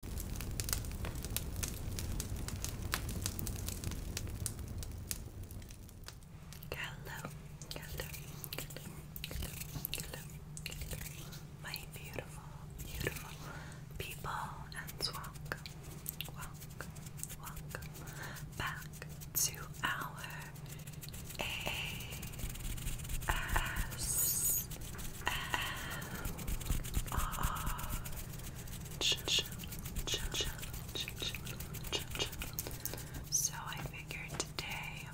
Hello, hello, hello, hello, hello, hello, my beautiful, beautiful people, and welcome, welcome, welcome back to our ASMR so I figured today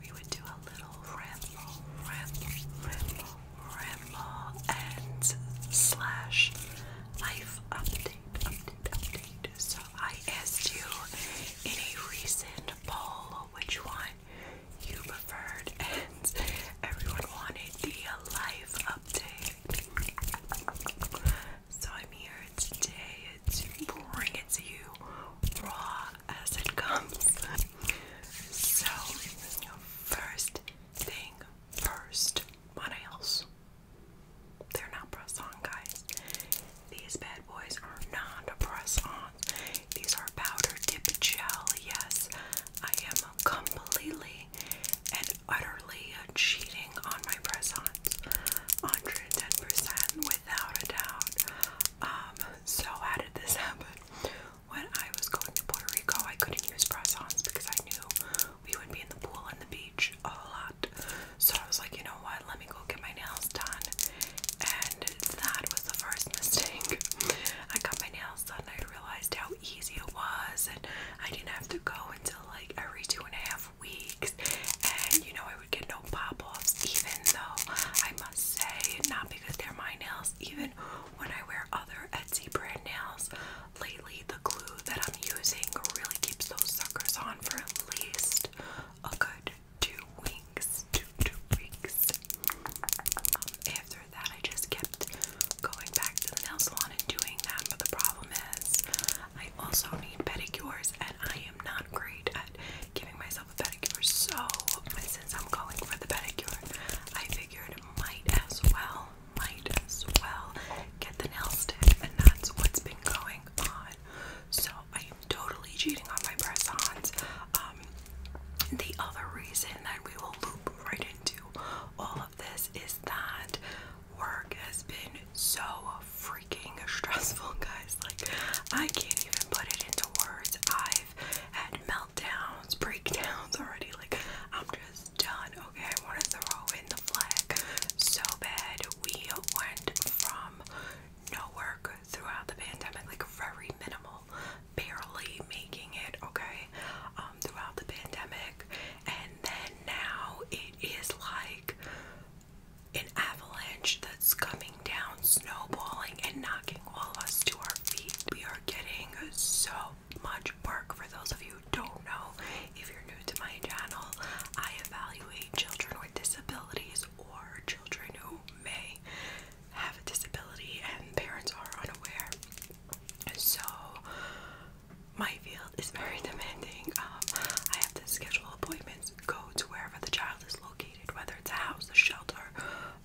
we would do a little ramble, ramble, ramble, ramble, and slash life update, update, update. So I asked you in a recent poll which one you preferred, and everyone wanted the life update. So I'm here today to bring it to you raw as it comes. So, first thing first, what else? They're not press on, guys. These bad boys are not press on. These are powder dip gel, yes. I am completely and utterly cheating on my press ons. 110% without a doubt. Um, so, how did this happen? When I was going to Puerto Rico, I couldn't use press because I knew we would be in the pool and the beach a lot. So, I was like, you know what? Let me go get my nails done. And that was the first mistake. I got my nails sudden I realized how easy it was, and I didn't have to go until like every two and a half weeks. And you know, I would get no pop offs, even though I must say, not because they're my nails, even when I wear other Etsy brand nails lately, the glue that I'm using really keeps those suckers on for at least a good two weeks. Two, two weeks. Um, after that, I just kept going back to the nail salon and doing that. But the problem is, I also need pedicures, and I am not great at giving myself a pedicure. So, since I'm going for the pedicure, I figured might as well, might as well get the nail stick, and that's what's been going on. So, I am totally cheating on my press ons. Um, the other reason that we will loop right into all of this is that work has been so freaking stressful, guys. Like, I can't even put it into words. I've had meltdowns, breakdowns already. Like, I'm just done. Okay, I want to throw in the flag so bad. We went from no work throughout the pandemic, like very minimal barely making it, okay, um, throughout the pandemic. And then now it is like an avalanche that's coming down, snowballing, and knocking all of us to our feet. We are getting so much work. For those of you who don't know, if you're new to my channel, I evaluate children with disabilities or children who may have a disability and parents are unaware. So my field is very demanding. Um, I have to schedule appointments, go to wherever the child is located, whether it's a house, a shelter,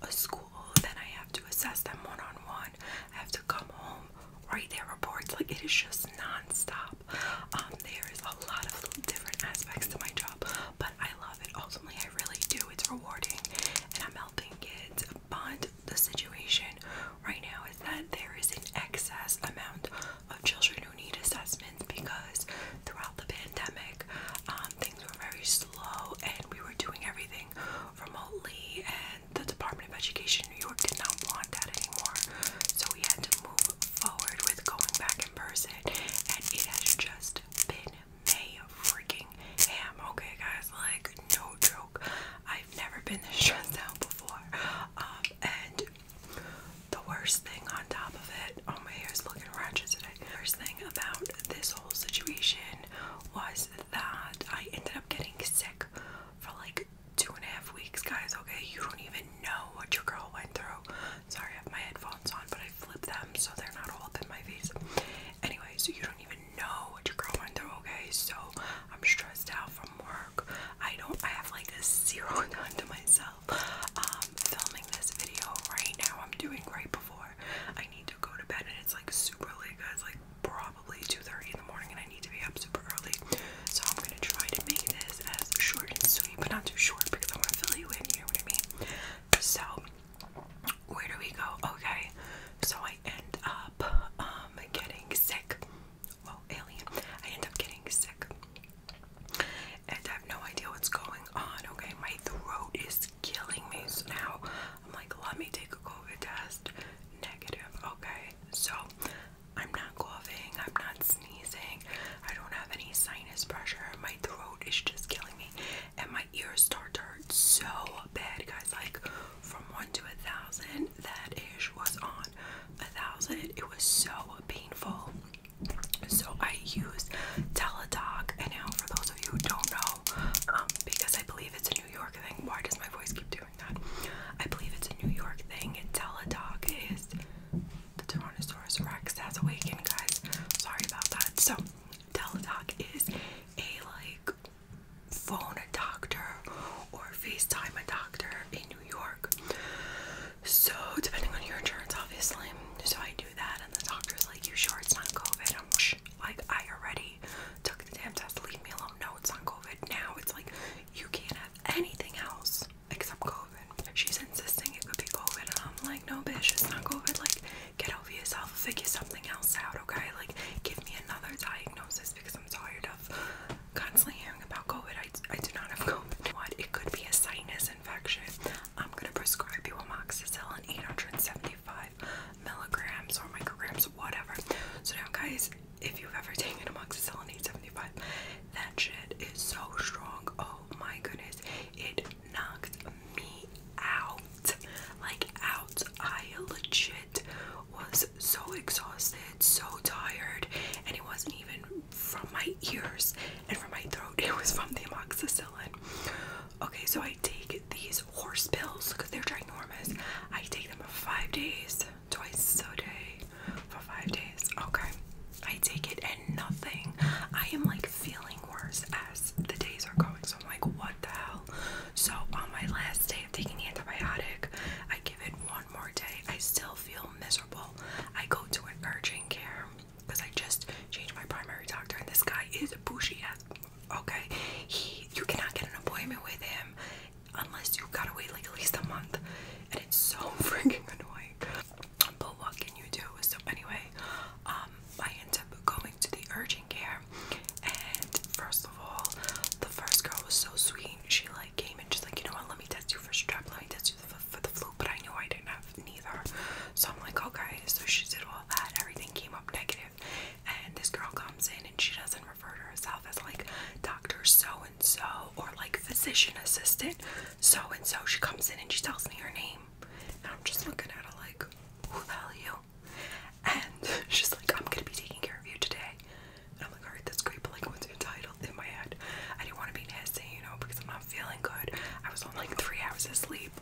a school. Then I have to assess them one on one. I have to come home, write their reports. Like it is just non-stop. Um, there is a lot of different aspects to my job, but I love it. Ultimately, I really do. It's rewarding, and I'm helping kids but the situation right now is that there is an excess amount of children who need assessment because throughout the pandemic, um, things were very slow and we were doing everything remotely, and the Department of Education in New York did not want that anymore. So we had to move forward with going back in person, and it has just been May freaking ham. Okay, guys, like, no joke. I've never been this stressed out before. Um, and the worst thing on top of it, oh my hair is looking ratchet today. The worst thing about this whole situation was that I ended up getting sick for like two and a half weeks, guys. Okay, you don't even know what your girl went through. Sorry, I have my headphones on, but I flipped them so they're not all up in my face. Anyway, so you don't even know what you're going through, okay? So I'm stressed out from work. I don't I have like a zero to myself. Um filming this video right now. I'm doing right before I need to go to bed and it's like super late guys, like probably 2:30 in the morning and I need to be up super early. So I'm gonna try to make this as short and sweet, but not too short because I wanna fill you in, you know what I mean? So where do we go? Okay, so I end up um, getting sick. Well, alien. I end up getting sick. And I have no idea what's going on. Okay, my throat is killing me. So now I'm like, let me take a COVID test. Negative. Okay, so I'm not coughing. I'm not sneezing. I don't have any sinus pressure. My throat is just killing me. And my ears start to hurt so bad, guys. Like, from one to a thousand. That ish was on a thousand. It was so painful. So I use Teladoc. And now, for those of you who don't know, um, because I believe it's a New York thing, why does my voice keep doing that? I believe it's a New York thing. Teladoc is the Tyrannosaurus Rex has awakened, guys. Sorry about that. So, Teladoc is a like phone a doctor or FaceTime a doctor in New York. So, depending on your insurance, obviously. So, I do that, and the doctor's like, You sure it's not COVID? I'm like, I already took the damn test. Leave me alone. No, it's not COVID. Now it's like, You can't have anything else except COVID. She's insisting it could be COVID, I'm like, No, bitch, it's not COVID. Like, get over yourself, figure something else out, okay? Like, give me another diagnosis because I'm tired of constantly hearing about COVID. I, do not have COVID. What? It could be a sinus infection. I'm going to prescribe you amoxicillin 875 milligrams or micrograms, whatever. So now, guys, if you've ever taken amoxicillin 875, that shit is so strong. Oh my goodness. It knocked me out. Like, out. I legit was so exhausted, so tired, and it wasn't even from my ears and from my throat, it was from the amoxicillin. Okay, so I take these horse pills because they're ginormous. I take them for five days, twice a day, for five days. Okay, I take it and nothing. I am like feeling worse as the days are going, so I'm like, what? what the hell. So on my last day of taking the antibiotic, I give it one more day. I still feel miserable. I go to an urgent care because I just changed my primary doctor, and this guy is a pushy ass. Okay, he you cannot get an appointment with him unless you have gotta wait like at least a month, and it's so freaking annoying. But what can you do? So anyway, um, I end up going to the urgent changing And first of all, the first girl was so sweet. She like came and she's like, you know what? Let me test you for strep. Let me test you for, the flu. But I knew I didn't have neither. So I'm like, okay. So she did all that. Everything came up negative. And this girl comes in and she doesn't refer to herself as like Doctor So and So or like physician assistant So and So. She comes in and she tells me her name. And I'm just looking at her like, who the hell you? And she's like, I'm gonna be taking care of you today. And I'm like, alright, that's great, but like, what's your title? In my head, I didn't want to be nasty, you know, because I'm not feeling good. I was on like three hours of sleep.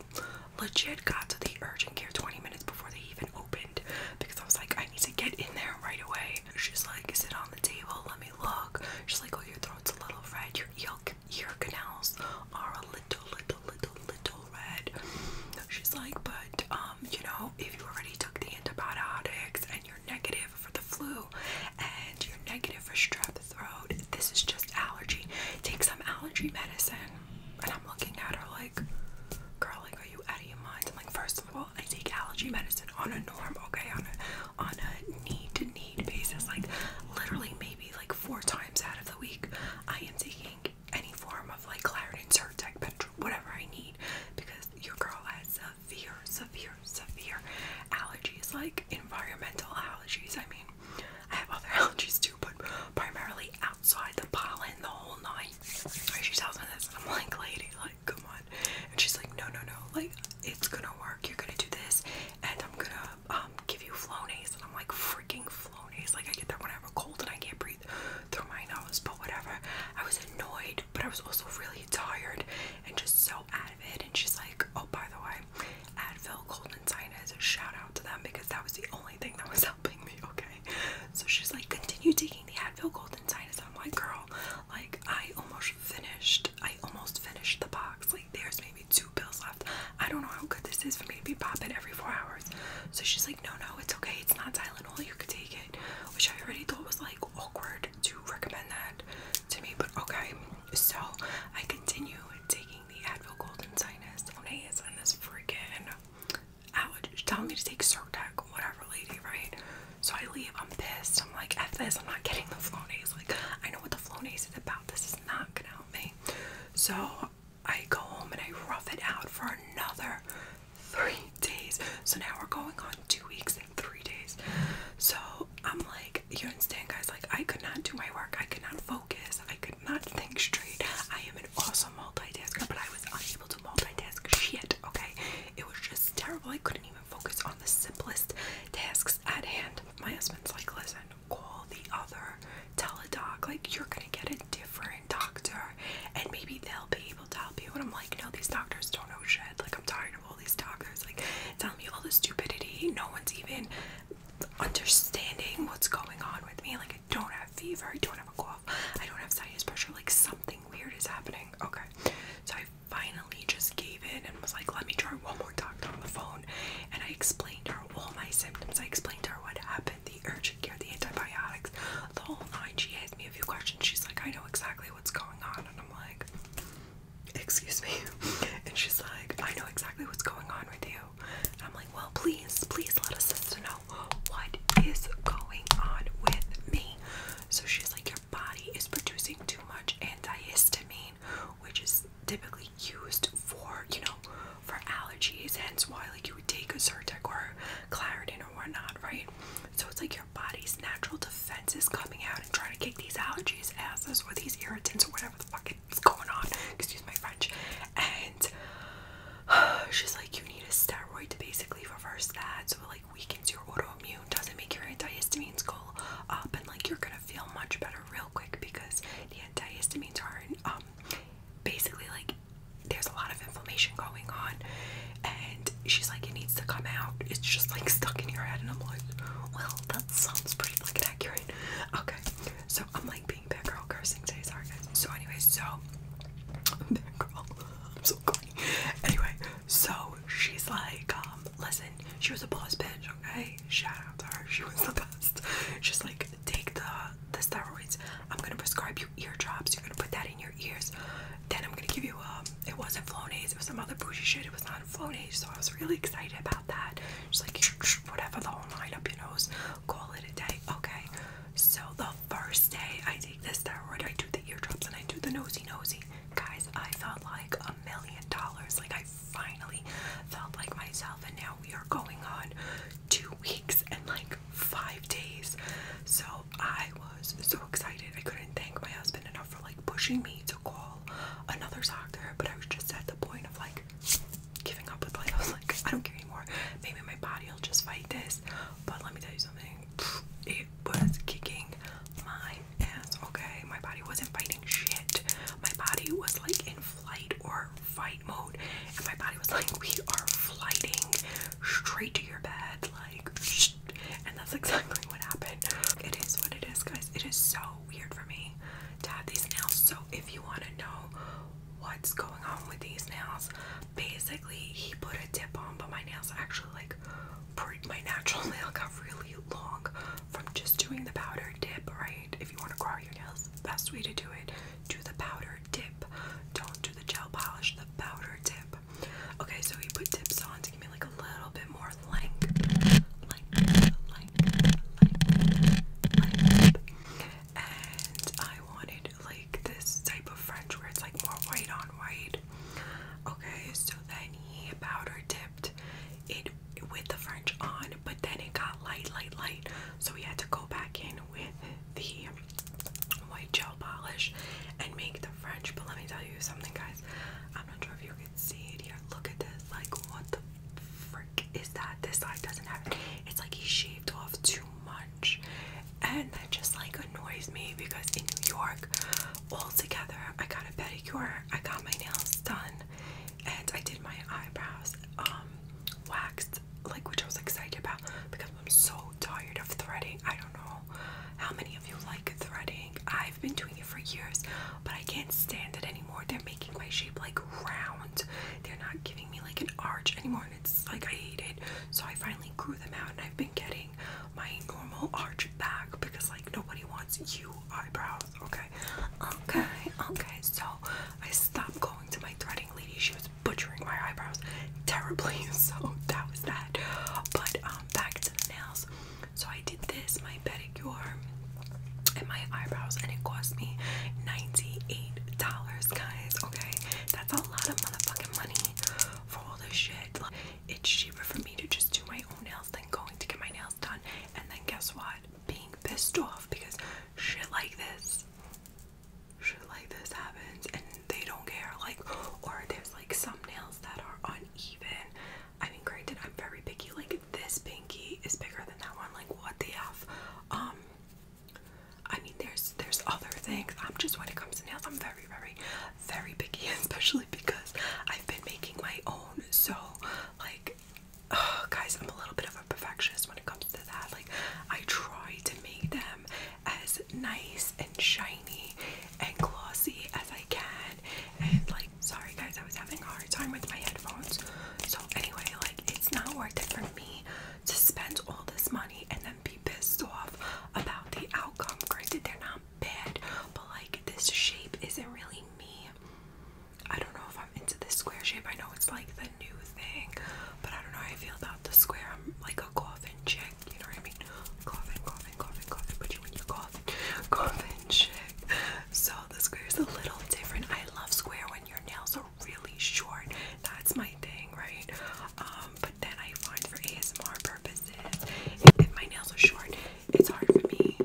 Legit got to the urgent care 20 minutes before they even opened because I was like, I need to get in there right away. She's like, sit on the table, let me look. She's like, oh, your throat's a little red, your ear, ear canals are a little, little, little, little all red. She's like, but um, you know, if you already took the antibiotics and you're negative for the flu and you're negative for strep throat, this is just allergy. Take some allergy medicine. And I'm looking at her like, girl, like, are you out of your mind? I'm like, first of all, I take allergy medicine on a norm, okay, on a on a need to need basis, like literally maybe like four times out of the week, I am taking any form of like Claritin, Zyrtec, Petro, whatever I need, because your girl has severe, severe, severe allergies, like environmental allergies. I mean, I have other allergies too, but primarily outside the pollen the whole night. She tells me this, I'm like, lady, like, come on. And she's like, no, no, no, like, it's gonna work. You're gonna do this, and I'm gonna um give you Flonase. And I'm like, freaking Flonase. Like, I get that when I have a cold and I can't breathe through my nose, but whatever. I was annoyed, but I was also really tired and just so out of it. And she's like, Oh, by the way, Advil, cold and sinus, shout out to them because that was the only thing that was helping me, okay? So she's like, Continue taking the Advil, cold and sinus. I'm like, Girl, like, I almost finished, I almost finished the box. Like, there's maybe two pills left. I don't know how good this is for me to be popping every four hours. So she's like, No, no, it's okay. It's not Tylenol. You can take it which I already thought was like awkward to recommend that to me, but okay. So I continue taking the Advil Golden Sinus Onays and this freaking allergy telling me to take Zyrtec, whatever, lady, right? So I leave, I'm pissed, I'm like, F this, I'm not getting the Flonase. Like, I know what the Flonase is about, this is not gonna help me. So I go home and I rough it out for another three days. So now we're going on two weeks and three days. So I'm like, you understand, guys? Like, I could not do my work. I could not focus. I could not think straight. I am an awesome multitasker, but I was unable to multitask shit, okay? It was just terrible. I couldn't even focus on the simplest tasks at hand. My husband's like, listen, call the other teledoc. Like, you're gonna get a different doctor and maybe they'll be able to help you. And I'm like, no, these doctors don't know shit. Like, I'm tired of all these doctors, like, telling me all the stupidity. No one's even understanding what's going on with me. Like, I don't have fever, I don't have a cough, I don't have sinus pressure. Like, something weird is happening. Okay. So I finally just gave in and was like, let me try one more doctor on the phone. And I explained her all my symptoms. I explained to her what happened, the urgent care, the antibiotics, the whole nine. She asked me a few questions. She's like, I know exactly what's going on. And I'm like, Excuse me. And she's like, I know exactly what's going on with you. And I'm like, Well, please, please let us sister know what is going on with me. So she's like, Your body is producing too much antihistamine, which is typically used for, you know, for allergies, hence why like you would take a Zyrtec or Claritin or whatnot, right? So it's like your body's natural defense is coming out and trying to kick these allergies, asses, or these irritants, or whatever the fuck is going on. Excuse my French. And she's like, you need a steroid to basically reverse that. So it like weakens your autoimmune, doesn't make your antihistamines go up, and like you're gonna feel much better real quick because the antihistamines are um basically like there's a lot of inflammation going on and she's like it needs to come out it's just like stuck in your head and i'm like well that sounds pretty like, accurate okay so i'm like being bad girl cursing today sorry guys so anyway so bad girl i'm so corny anyway so she's like um listen she was a boss bitch okay shout out to her she was the best she's like take the the steroids i'm gonna prescribe you ear drops you're gonna put that in your your ears. Then I'm gonna give you um it wasn't Flonase, it was some other bougie shit. It was not Flonase, so I was really excited about that. Just like whatever the whole line up your nose, call it a day. Okay. So the first day I take this steroid, I do the eardrops and I do the nosy nosy. Guys, I felt like a million dollars. Like I finally felt like myself and now we are going on two weeks and like five days. So I was so excited. I couldn't thank my husband enough for like pushing me to call another doctor, but I was just at the point of like giving up with like I was like, I don't care anymore. Maybe my body will just fight this. But let me tell you something. It was kicking my ass, okay? My body wasn't fighting shit. My body was like in flight or fight mode. And my body was like, we are flighting straight to your bed. Like, and that's exactly what happened. It is what it is, guys. It is so weird for me to have these nails. So if you want to know what's going on with these nails, basically he put a dip on, but my nails actually like my natural nail got really long from just doing the powder dip. Right? If you want to grow your nails, best way to do it: do the powder dip. Don't do the gel polish. The powder dip. Okay, so he put tips on to give me like a little bit more length, And I wanted like this type of French where it's like more white on white. Okay, so then he powder tipped it with the French on, but then it got light, light, light. So we had to go back in with the white gel polish and make the French. But let me tell you something, guys. I'm not sure if you can see it here. Look at this. Like, what the frick is that? This side doesn't have It's like he shaved off too much. And that just like annoys me because in New York, all together, I got a pedicure, I got my nails done, and I did my eyebrows um, waxed, like which I was excited about because I'm so tired of threading. I don't know how many of you like threading. I've been doing it for years, but I can't stand it anymore. They're making my shape like round. They're not giving me like an arch anymore, and it's like I hate it. So I finally grew them out, and I've been getting my normal arch back because like nobody wants you eyebrows. Okay, okay, okay. So I stopped going to my threading lady. She was butchering my eyebrows terribly, so that was that. But um, back to the nails. So I did this, my pedicure, and my eyebrows, and it cost me ninety-eight dollars, guys. Okay, that's a lot of motherfucking money for all this shit. Like, it's cheaper for me to just do my own nails than going to get my nails done. And then guess what? Being pissed off because shit like this, shit like this happens, and they don't care like or there's like some nails that are uneven i mean granted i'm very picky like this pinky is bigger than that one like what the f um i mean there's there's other things i'm just when it comes to nails i'm very very very picky especially because i've been making my own so like uh, guys i'm a little bit of a perfectionist when it comes to that like i try to make them as nice and shiny and glossy as I can. And like, sorry guys, I was having a hard time with my headphones. So anyway, like, it's not worth it for me to spend all this money and then be pissed off about the outcome. Granted, they're not bad, but like, this shape isn't really me. I don't know if I'm into this square shape. I know it's like the new thing, but I don't know how I feel about the square. I'm like a coffin chick you know what I mean? Coughing, coughing, coughing, coughing, but you when you cough, coughing shit. So the square is a little different. I love square when your nails are really short. That's my thing, right? Um, but then I find for ASMR purposes, if, if my nails are short, it's hard for me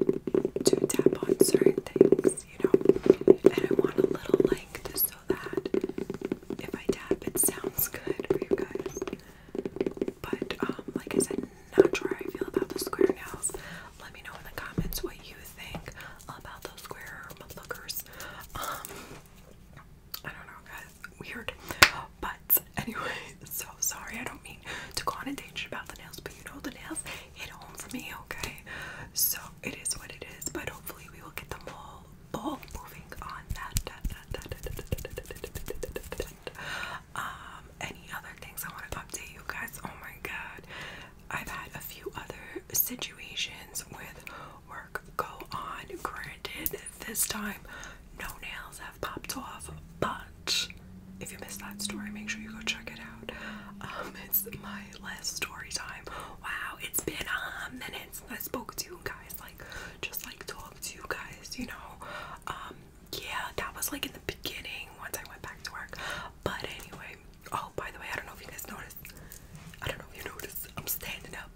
to tap on certain things, you know? And I want a little length so that if I tap, it sounds good for you guys. But like I said, not sure how I feel about the square nails. Let me know in the comments what you think about those square mudlookers. I don't know, guys. Weird. But anyway, so sorry. I don't mean to go on a tangent about the nails, but you know the nails hit home for me, okay? So it is what it is. But hopefully we will get them all all moving on. Um, any other things I want to update you guys. Oh my god, I've had a few other situations with work go on. Granted, this time no nails have popped off, but if you missed that story, make sure you go check it out. Um, it's my last story time. Wow, it's been a minute since I spoke to you guys just like talk to you guys, you know. Um, yeah, that was like in the beginning once I went back to work. But anyway, oh by the way, I don't know if you guys noticed. I don't know if you noticed. I'm standing up.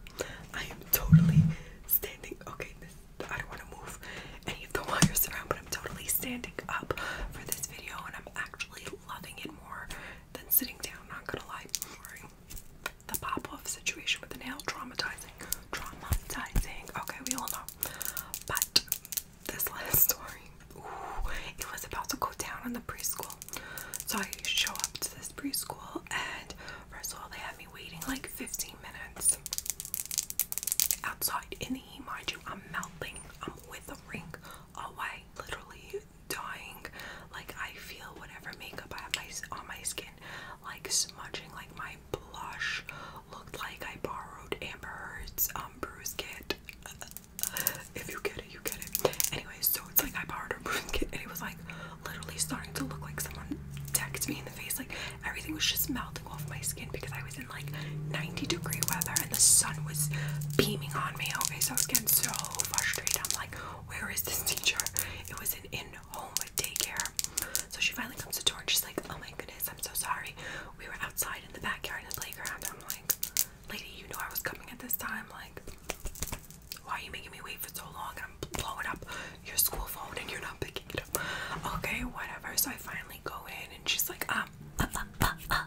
I am totally standing. Okay, I don't want to move any of the wires around, but I'm totally standing up for this video and I'm actually loving it more than sitting down, not gonna lie the pop-off situation with the nail traumatizing traumatizing okay we all know but this last story it was about to go down in the preschool so i show up to this preschool and first of all they had me waiting like 15 minutes outside in the heat mind you i'm melting i'm with a ring away literally dying like i feel whatever makeup i have on my skin like smudging like my blush looked like I borrowed Amber Heard's um bruise kit. if you get it, you get it. Anyway, so it's like I borrowed her bruise kit and it was like literally starting to look like someone decked me in the face. Like everything was just melting off my skin because I was in like 90 degree weather and the sun was beaming on me. Okay, so I was getting so frustrated. I'm like, where is this teacher? It was an in daycare. So she finally comes to the door and she's like, Oh my goodness, I'm so sorry. We were outside in the backyard and the playground. I'm like, Lady, you know I was coming at this time. Like, why are you making me wait for so long? I'm blowing up your school phone and you're not picking it up. Okay, whatever. So I finally go in and she's like, Um, uh, uh, uh, uh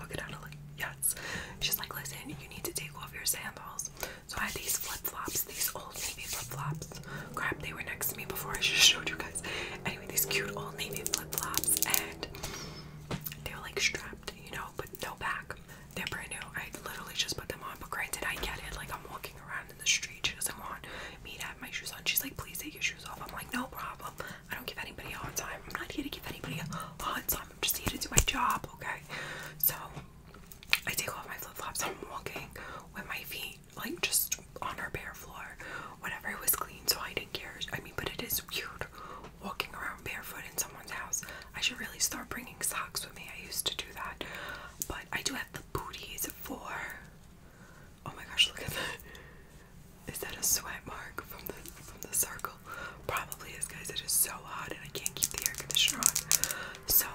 look it out. like, Yes. She's like, Listen, you need to take off your sandals. So I had these flip-flops, these old navy flip-flops. Crap, they were next to me before I just showed you guys. Anyway, these cute old navy flip-flops and they were like strapped, you know, but no back. They're brand new. I literally just put them on, but granted I get it. Like I'm walking around in the street. She doesn't want me to have my shoes on. She's like, please take your shoes off. I'm like, no problem. I don't give anybody a hard time. I'm not here to give anybody a hard time. I'm just here to do my job, okay? So I take off my flip-flops. I'm walking with my feet like just on our bare floor. whenever it was clean, so I didn't care. I mean, but it is weird walking around barefoot in someone's house. I should really start bringing socks with me. I used to do that, but I do have the booties for. Oh my gosh! Look at that. Is that a sweat mark from the from the circle? Probably is, guys. It is so hot, and I can't keep the air conditioner on. So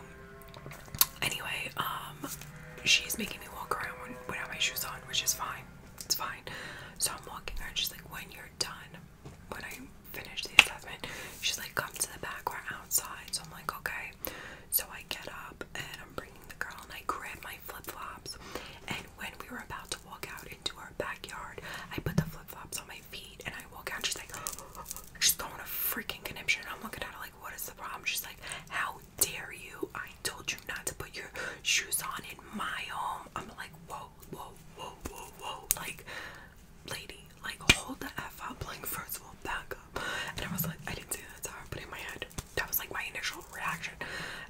Anyway, um, she's making me walk around when, without my shoes on, which is fine. It's fine. So I'm walking her, and she's like, "When you're done, when I finish the assessment, she's like, come to the back. or outside." So I'm like, "Okay." So I get up and I'm bringing the girl, and I grab my flip flops. And when we were about to walk out into our backyard, I put the flip flops on my feet, and I walk out. And she's like, "She's throwing a freaking conniption." I'm looking at her like what is the problem? She's like, how dare you? I told you not to put your shoes on in my home. I'm like, whoa, whoa, whoa, whoa, whoa. Like, lady, like, hold the F up. Like, first of all, back up. And I was like, I didn't say that's to but in my head, that was like my initial reaction.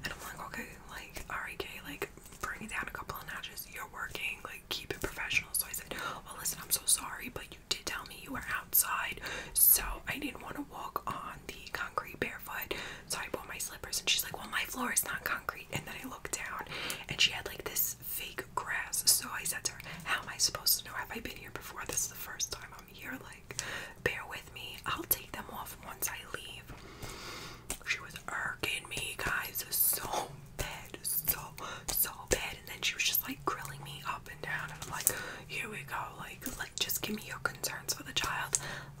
And I'm like, okay, like, alright, Kay, like, bring down a couple of notches. You're working, like, keep it professional. So I said, well, listen, I'm so sorry, but you you tell me you were outside, so I didn't want to walk on the concrete barefoot. So I bought my slippers, and she's like, Well, my floor is not concrete. And then I looked down, and she had like this fake grass. So I said to her, How am I supposed to know? Have I been here before? This is the first time I'm here. Like, bear with me. I'll take them off once I leave. She was irking me, guys, so bad, so, so bad. And then she was just like grilling me up and down. And I'm like, here we go like like just give me your concerns for the child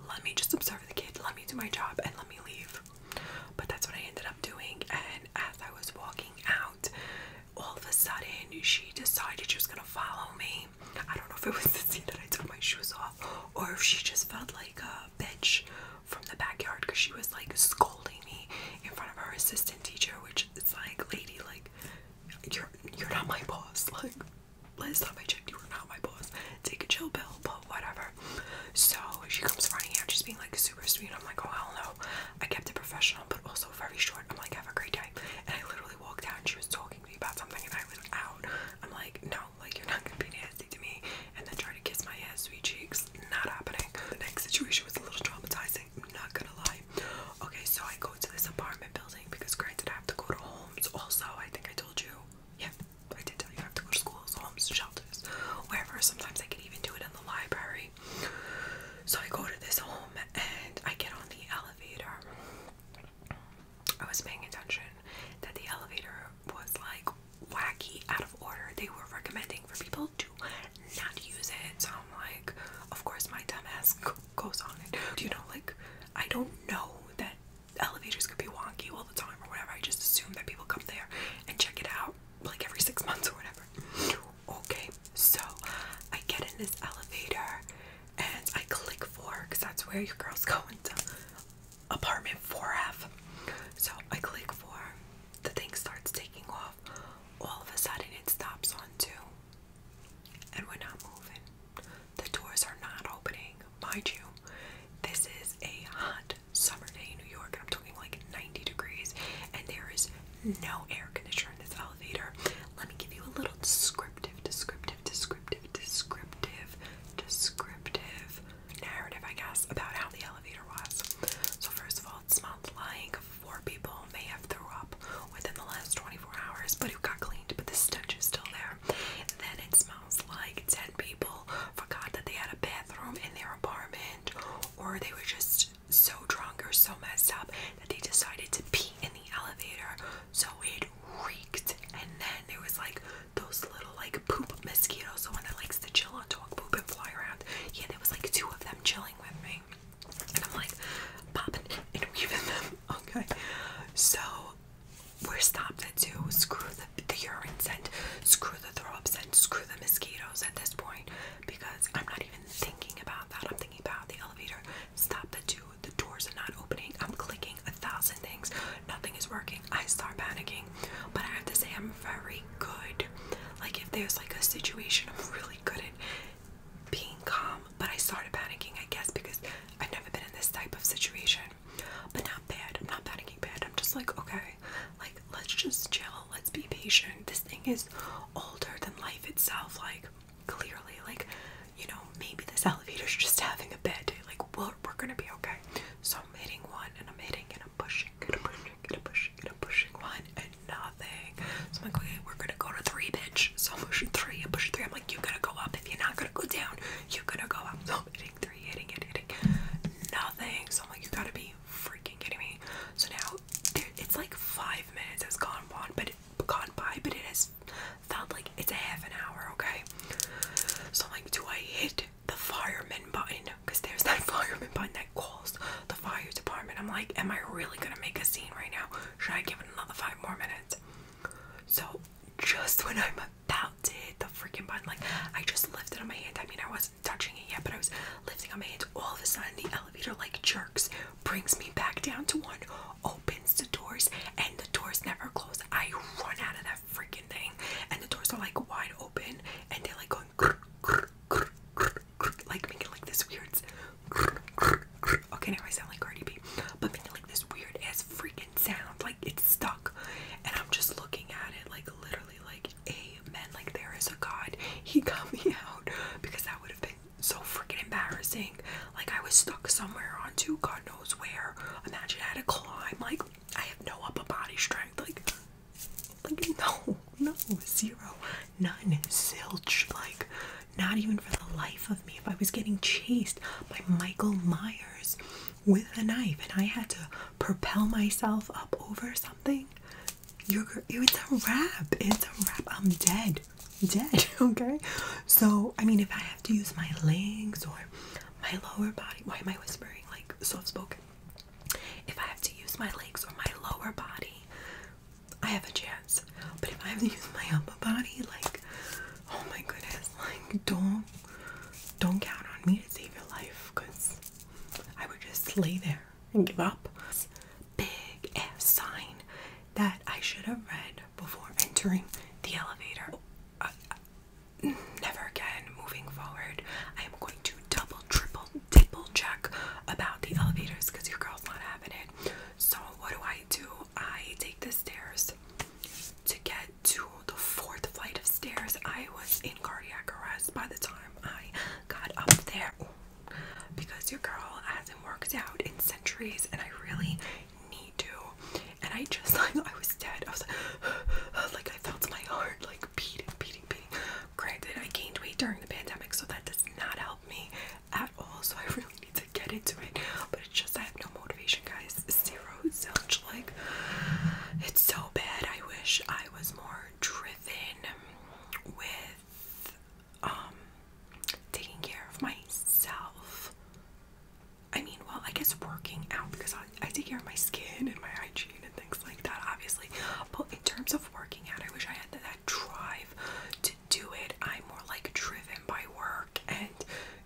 let me just observe the kid let me do my job and let me leave but that's what i ended up doing and as i was walking out all of a sudden she decided she was gonna follow me i don't know if it was the scene that i took my shoes off or if she just felt like a bitch from the backyard because she was like scolding me in front of her assistant teacher which it's like lady like you're you're not my boss. Like last time I checked, you were not my boss. Take a chill pill, but whatever. So she comes running out, she's being like super sweet. I'm like, oh hell no. I kept it professional, but also very short. I'm like, have a great day. And I literally walked out, and she was talking to me about something, and I was out. I'm like, no, like you're not gonna be nasty to me, and then try to kiss my ass, sweet cheeks. Not happening. The next situation was a little traumatizing. I'm not gonna lie. Okay, so I go to this apartment building because granted I have to go to homes also. I think I told you. Yeah, I did tell you I have to go to schools, homes, shelters, wherever. Sometimes I can even do it in the library. So I go to this home and I get on the elevator. I was paying attention that the elevator was like wacky, out of order. They were recommending for people to not use it. So I'm like, of course, my dumbass goes on and you know like I don't know that elevators could be wonky all the time or whatever. I just assume that people come there and check it out like every six months or whatever. Okay, so I get in this elevator and I click four because that's where your girls go into apartment 4F. So I click four, the thing starts taking off. All of a sudden, it stops on two and we're not moving. The doors are not opening. Mind you, this is a hot summer day in New York, and I'm talking like 90 degrees, and there is no air conditioner in this elevator. Let me give you a little descriptive, descriptive, descriptive, descriptive, descriptive narrative, I guess, about how the elevator was. So, first of all, it smelled like four people may have threw up within the last 24 hours, but it got cleaned, but the stench is still there. And then it smells like 10 people forgot that they had a bathroom in their apartment, or they were just so drunk or so messed up that they decided to pee in the elevator, so it reeked. And then there was like those little like poop mosquitoes, the one that likes to chill on dog poop and fly around. Yeah, there was like two of them chilling with me. And I'm like popping and weaving them. Okay. So we're stopped at two. Screw the, the urine scent, screw the throw up scent, screw the mosquitoes at this point because I'm not even thinking about that. I'm thinking about the elevator. Stop the two. The doors are not opening. I'm clicking a thousand things. Nothing is working. I start panicking. But I have to say, I'm very good. Like, if there's like a situation, I'm really good at being calm, but I started panicking, I guess, because I've never been in this type of situation. But not bad. I'm not panicking bad. I'm just like, okay, like let's just chill, let's be patient. This thing is older than life itself, like clearly, like, you know, maybe this elevator's just having a bad day. Like, we're, we're gonna be okay. So I'm hitting one and I'm hitting and I'm pushing and I'm pushing and I'm pushing and I'm pushing one and so I'm like, okay, we're gonna go to three, bitch. So I'm pushing three, I'm pushing three. I'm like, you are going to go up. If you're not gonna go down, you are going to go up. So I'm hitting three, hitting it, hitting nothing. So I'm like, you gotta be freaking kidding me. So now it's like five minutes has gone on, but it, gone by, but it has felt like it's a half an hour, okay? So I'm like, do I hit the fireman button? Because there's that fireman button that calls the fire department. I'm like, am I really gonna make a scene right now? Should I give have another five more minutes. So just when I'm about to hit the freaking button, like I just lifted on my hand. I mean, I wasn't touching it yet, but I was lifting on my hand. All of a sudden, the elevator like jerks, brings me back down to one, opens the doors, and the doors never close. I run out of that freaking thing, and the doors are like wide open, and they're like going grr, grr, grr, grr, grr, like making like this weird Okay, now I sound like Cardi B, but making like this weird ass freaking sound, like it's stuck. And I'm just looking at it, like literally, like amen, like there is a God. He got me out because that would have been so freaking embarrassing. Like I was stuck somewhere onto God knows where. Imagine I had to climb. Like I have no upper body strength. Like, like no, no, zero, none, silch. Like not even for the life of me. If I was getting chased by Michael Myers with a knife and I had to propel myself up over something, you're, it's a wrap. It's a wrap. I'm dead. Dead. Okay? So, I mean, if I have to use my legs or my lower body, why am I whispering like soft spoken? If I have to use my legs or my lower body, I have a chance. But if I have to use my upper body, like, oh my goodness, like, don't, don't count on me to save your life, cause I would just lay there and give up. big ass sign that I should have read before entering the elevator. Oh, uh, never again. Moving forward, I am going to double, triple, triple check about the elevators, cause your girl's not having it. So, what do I do? I take the stairs to get to the fourth flight of stairs. I was in cardiac arrest by the time I got up there because your girl hasn't worked out in centuries and I really need to. And I just like, I was dead. I was like, like I felt my heart like beating, beating, beating. Granted, I gained weight during the pandemic, so that does not help me at all, so I really need to get into it. But it's just I have no motivation, guys. Zero Like, it's so bad. I wish I was more driven with um taking care of myself. I mean, well, I guess working out because I, I take care of my skin and my hygiene and things like that, obviously. But in terms of working out, I wish I had that drive to do it. I'm more like driven by work and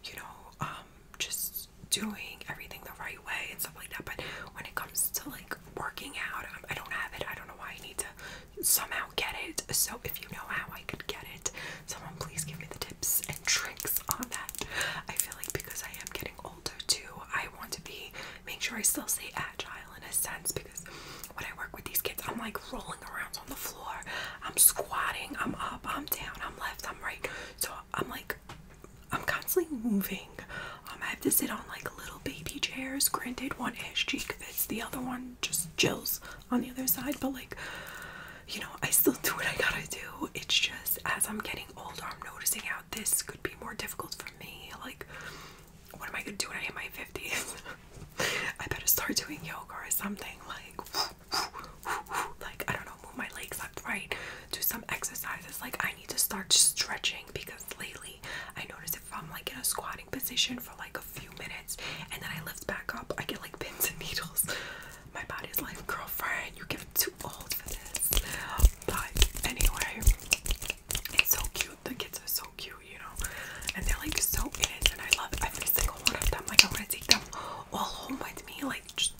you know, um, just doing everything the right way and stuff like that. But when it comes to like working out, um, I don't have it. I don't know why I need to somehow get it. So if you know how I could get it, someone please give me the tips and tricks on that. I feel like because I am getting older too, I want to be make sure I still stay agile in a sense because when I work with these kids, I'm like rolling around on the floor. I'm squatting, I'm up, I'm down, I'm left, I'm right. So I'm like, I'm constantly moving. Um, I have to sit on like little baby chairs. Granted, one ass cheek fits, the other one just chills on the other side. But like, you know, I still do what I gotta do. It's just as I'm getting older, I'm noticing how this could be more difficult for me. Like, what am I gonna do when I hit my 50s? I better start doing yoga or something like like I don't know, move my legs up right, do some exercises. Like I need to start stretching because lately I notice if I'm like in a squatting position for like a few minutes and then I lift back up, I get like pins and needles. My body's like, girlfriend, you get too old for this. But anyway, it's so cute. The kids are so cute, you and they're like so and I love every single one of them. Like I want to take them all home with me. Like just,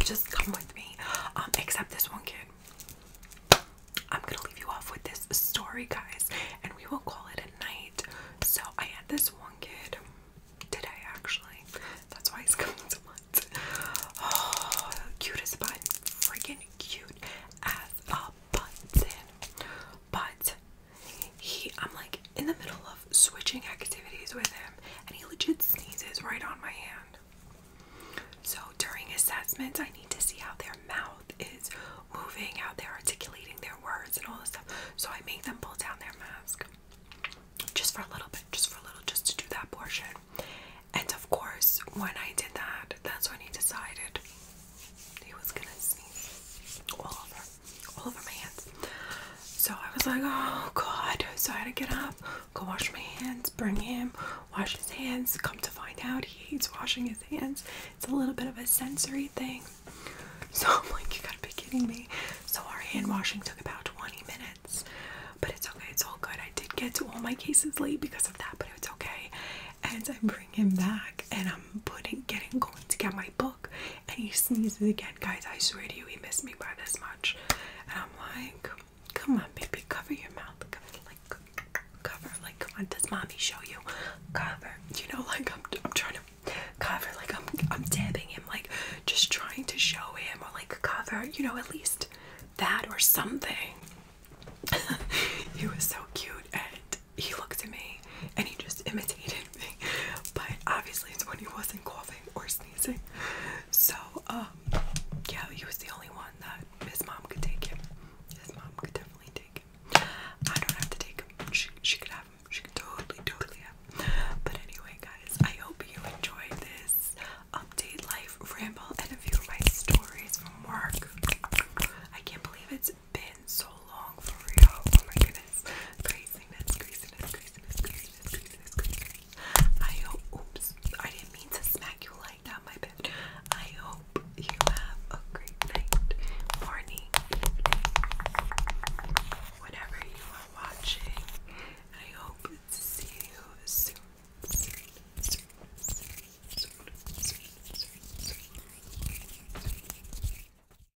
just, come with me. Um, except this one kid. I'm gonna leave you off with this story, guys, and we will call it a night. So I had this one kid today, actually. That's why he's coming to mind. Oh, cute as freaking cute as a button. But he, I'm like in the middle of switching activities with him, and he legit sneezes right on my hand. So during assessments, I need to see how their mouth is moving, how they're articulating their words, and all this stuff. So I make them pull down their mask just for a little bit, just for a little, just to do that portion. And of course, when I did that, that's when he decided he was gonna sneeze all over all over my hands. So I was like, oh god. So I had to get up, go wash my hands, bring him, wash his hands. Come to find out, he hates washing his hands. It's a little bit of a sensory thing. So I'm like, you gotta be kidding me. So our hand washing took about 20 minutes, but it's okay, it's all good. I did get to all my cases late because of that, but it's okay. And I bring him back, and I'm putting, getting, going to get my book and he sneezes again. Guys, I swear to you, he missed me by this much. And I'm like, come on, baby, cover your mouth. Cover, like, cover, like, come on, does mommy show you? Cover, you know, like, I'm, I'm trying to cover, like, I'm, I'm dabbing him, like, just trying to show him, or like, cover, you know, at least that or something. he was so cute, and he looked at me and he just imitated me. But obviously, it's when he wasn't coughing or sneezing. So, um, yeah, he was the only one that his mom could take him. His mom could definitely take him. I don't have to take him. She, she could have him. She could totally, totally have him. But anyway, guys, I hope you enjoyed this update life ramble and a few of my stories from work. I can't believe it's been so long for real. Oh my goodness. Craziness, craziness, craziness, craziness, craziness, craziness. I hope, oops, I didn't mean to smack you like that, my bad. I hope you have a great night, morning, whatever you are watching. I hope to see you soon.